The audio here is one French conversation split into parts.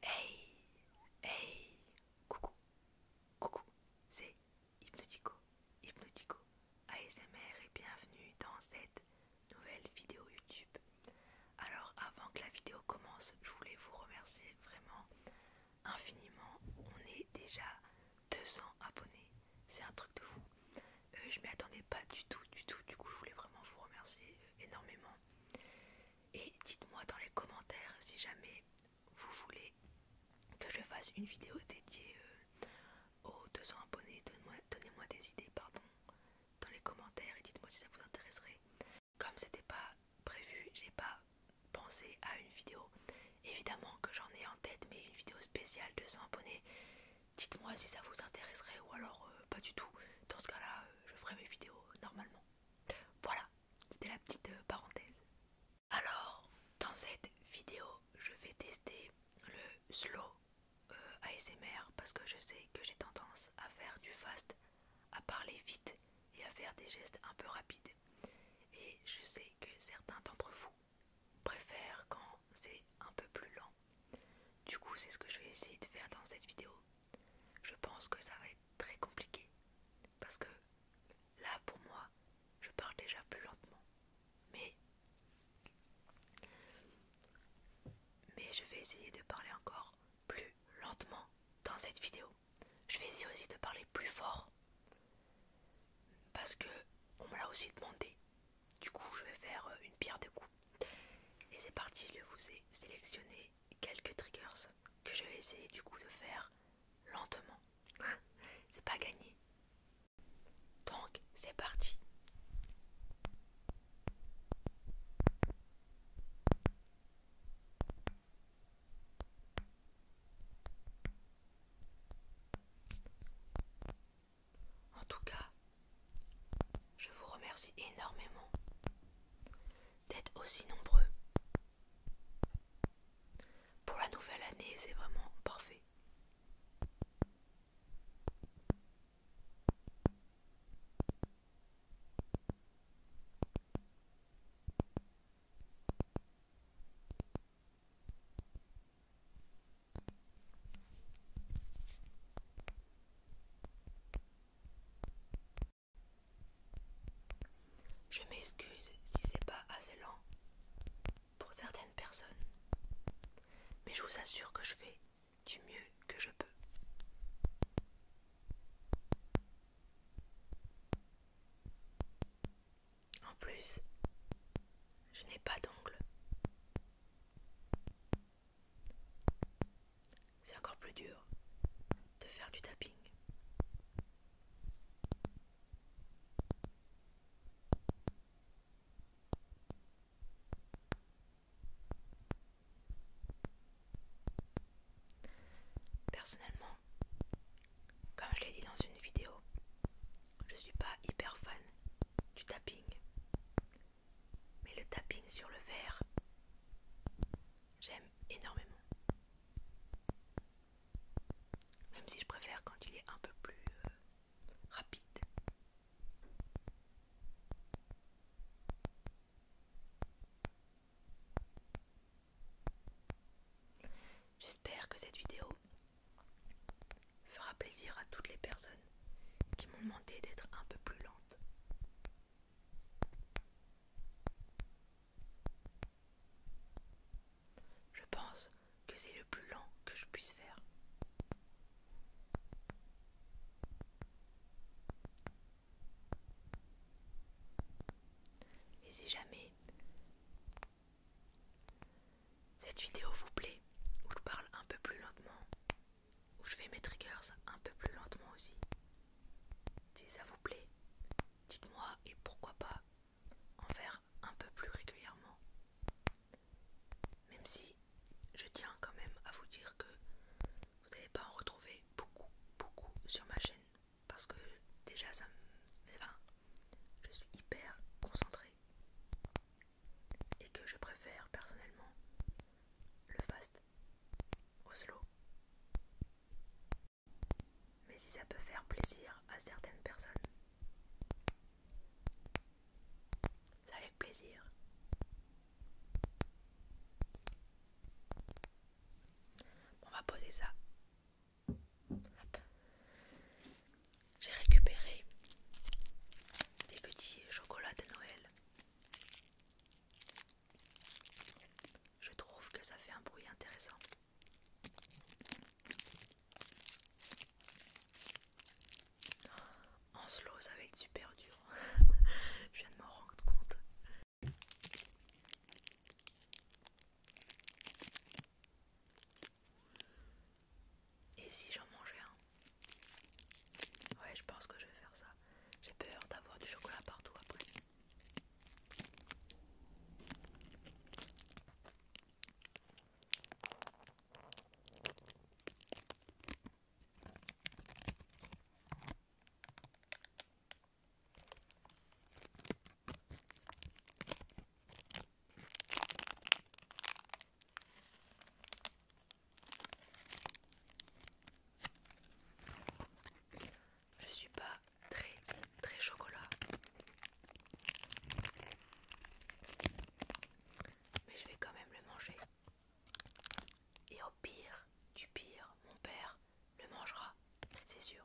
Hey Hey Coucou Coucou C'est Hypnotico Hypnotico ASMR et bienvenue dans cette nouvelle vidéo YouTube. Alors avant que la vidéo commence, je voulais vous remercier vraiment infiniment. On est déjà 200 abonnés. C'est un truc de fou. Euh, je m'y attendais pas du tout, du tout. Du coup, je voulais vraiment vous remercier euh, énormément. Et dites-moi dans les commentaires si jamais vous voulez que je fasse une vidéo dédiée euh, aux 200 abonnés. Donnez-moi des idées, pardon, dans les commentaires et dites-moi si ça vous intéresserait. Comme c'était pas prévu, j'ai pas pensé à une vidéo. Évidemment que j'en ai en tête, mais une vidéo spéciale 200 abonnés. Dites-moi si ça vous intéresserait ou alors euh, pas du tout. Dans ce cas-là, euh, je ferai mes vidéos normalement. Voilà, c'était la petite euh, parenthèse. Alors, dans cette vidéo, je vais tester le slow euh, ASMR parce que je sais que j'ai tendance à faire du fast, à parler vite et à faire des gestes un peu rapides. Et je sais que certains d'entre vous préfèrent quand c'est un peu plus lent. Du coup, c'est ce que je vais essayer de faire dans cette vidéo. Je pense que ça va être très compliqué parce que là pour moi je parle déjà plus lentement mais mais je vais essayer de parler encore plus lentement dans cette vidéo je vais essayer aussi de parler plus fort parce que on me l'a aussi demandé du coup je vais faire une pierre de coups et c'est parti je vous ai sélectionné quelques triggers que je vais essayer du coup de faire lentement. c'est pas gagné. Donc c'est parti. En tout cas, je vous remercie énormément d'être aussi nombreux. Pour la nouvelle année, c'est vraiment parfait. Je m'excuse si c'est pas assez lent pour certaines personnes, mais je vous assure que je fais du mieux que je peux. En plus, je n'ai pas d'ongles. C'est encore plus dur de faire du tapping. Personnellement, comme je l'ai dit dans une vidéo, je suis pas hyper fan du tapping. Mais le tapping sur le verre, J'aime énormément. Même si je préfère quand il est un peu plus euh, rapide. J'espère que cette vidéo fera plaisir à toutes les personnes qui m'ont demandé d'être un peu plus lente. Je pense que c'est le plus lent que je puisse faire. Et si jamais cette vidéo vous plaît, où je parle un peu plus lentement, où je fais mes triggers un peu plus lentement aussi. Si ça vous plaît, dites-moi et pourquoi pas en faire un peu plus régulièrement. Même si je tiens quand même à vous dire que vous n'allez pas en retrouver beaucoup, beaucoup sur ma chaîne. Parce que déjà, ça me. Enfin, je suis hyper concentrée. Et que je préfère personnellement le fast Oslo. Mais si ça peut faire plaisir à certaines personnes, c'est avec plaisir. On va poser ça. J'ai récupéré des petits chocolats de Noël je trouve que ça fait un bruit intéressant. Oh, en slow, ça va être super dur. Je viens de m'en rendre compte. Et si j'en mangeais un Ouais, je pense que je vais faire ça. J'ai peur d'avoir du chocolat partout après. Je suis pas très très chocolat. Mais je vais quand même le manger. Et au pire, du pire, mon père le mangera, c'est sûr.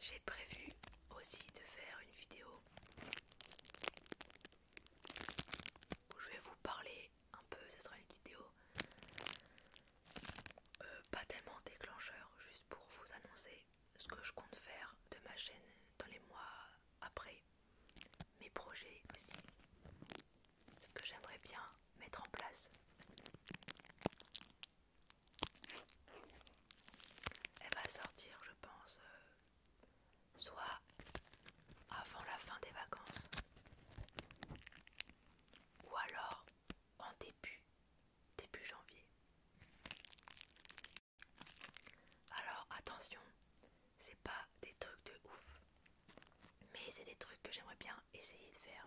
J'ai prévu aussi de faire une vidéo où je vais vous parler un peu, ce sera une vidéo euh, pas tellement déclencheur, juste pour vous annoncer ce que je compte faire de ma chaîne dans les mois après, mes projets aussi ce que j'aimerais bien mettre en place. Elle va sortir, je pense, euh, soit avant la fin des vacances, ou alors en début, début janvier. Alors attention, c'est pas des trucs de ouf, mais c'est des trucs que j'aimerais bien essayer de faire.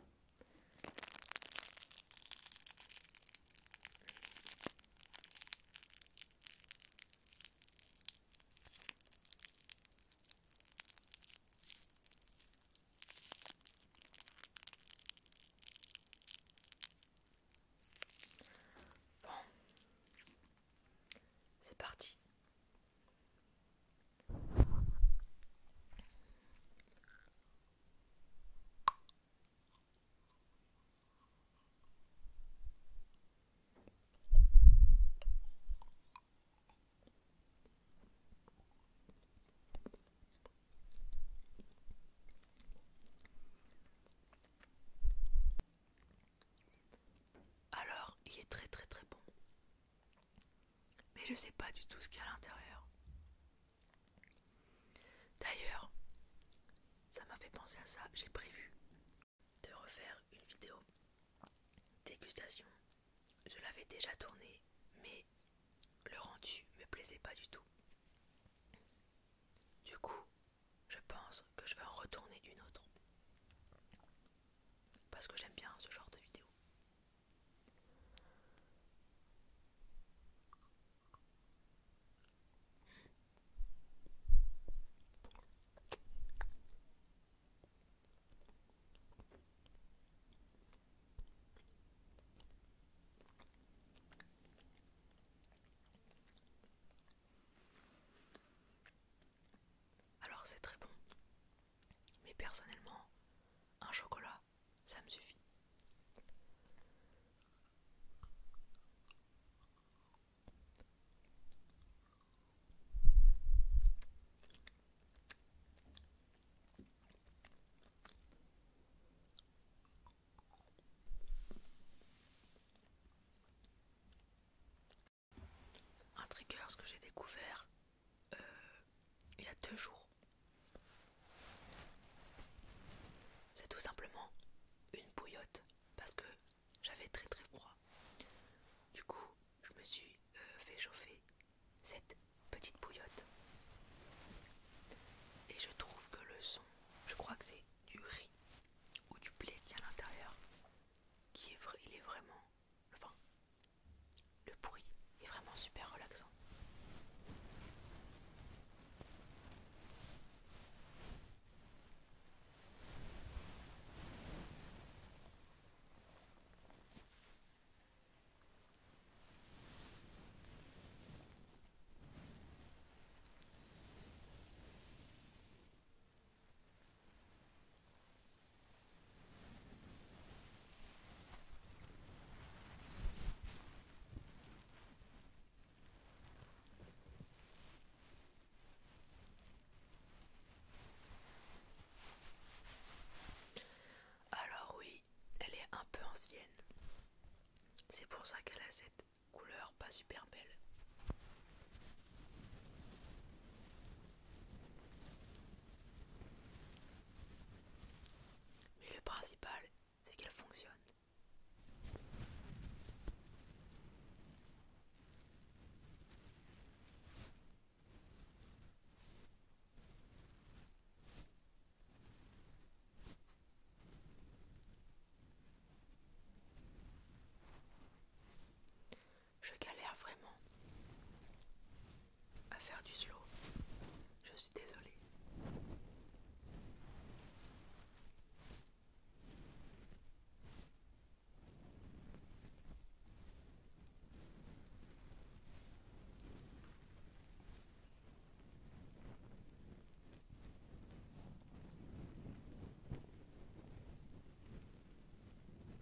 Bon, c'est parti. Alors, il est très très très bon. Mais je sais pas du tout ce qu'il y a à l'intérieur. D'ailleurs, ça m'a fait penser à ça, j'ai prévu de refaire une vidéo dégustation. Je l'avais déjà tournée, mais le rendu me plaisait pas du tout. Du coup, je pense que je vais en retourner une autre. Parce que j'aime bien ce genre de vidéo. Alors c'est très bon. Mais personnellement, un chocolat, ça me suffit. Un trigger, ce que j'ai découvert euh, il y a deux jours. C'est tout simplement une bouillotte parce que j'avais très très froid. Du coup, je me suis euh, fait chauffer cette petite bouillotte. Et je trouve que le son, je crois que c'est du riz ou du blé qui est à l'intérieur, qui est il est vraiment, enfin, le bruit est vraiment super relaxant. Alors oui, elle est un peu ancienne. C'est pour ça qu'elle a cette couleur pas super belle. Mais le principal, c'est qu'elle fonctionne. Je galère vraiment à faire du slow. Je suis désolée.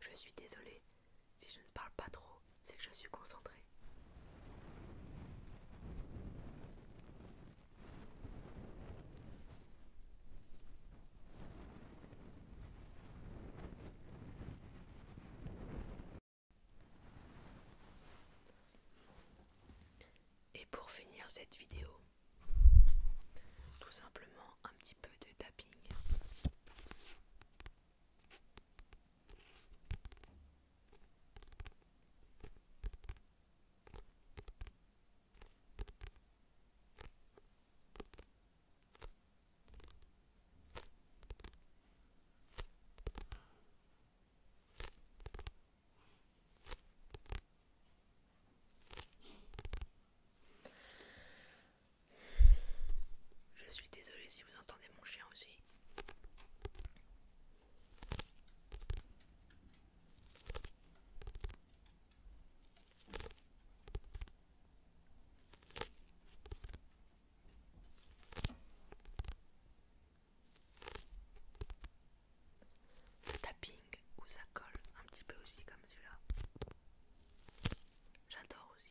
Je suis désolée, si je ne parle pas trop, c'est que je suis concentrée. Et pour finir cette vidéo, tout simplement un petit peu de tapping. Je suis désolée si vous entendez mon chien aussi tapping où ça colle un petit peu aussi comme celui-là. J'adore aussi.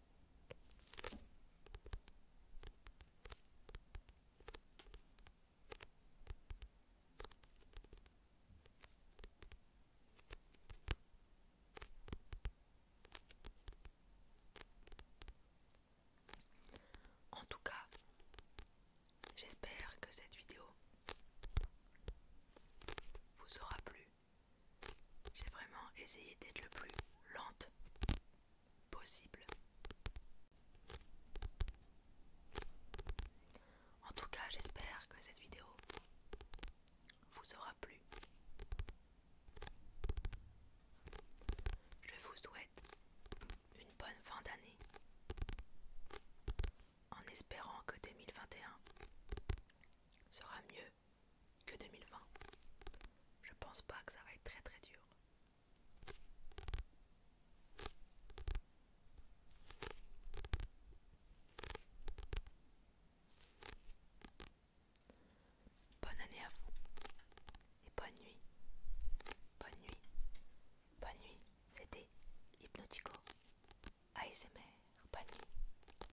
En tout cas, j'espère que cette vidéo vous aura plu. J'ai vraiment essayé d'être le plus lente possible. En tout cas, j'espère que cette vidéo vous aura plu. Je vous souhaite une bonne fin d'année en espérant que 2021 sera mieux que 2020. Je pense pas que ça va être très très dur. Bonne année à vous et bonne nuit. Bonne nuit. Bonne nuit. C'était Hypnotico. ASMR. Bonne nuit.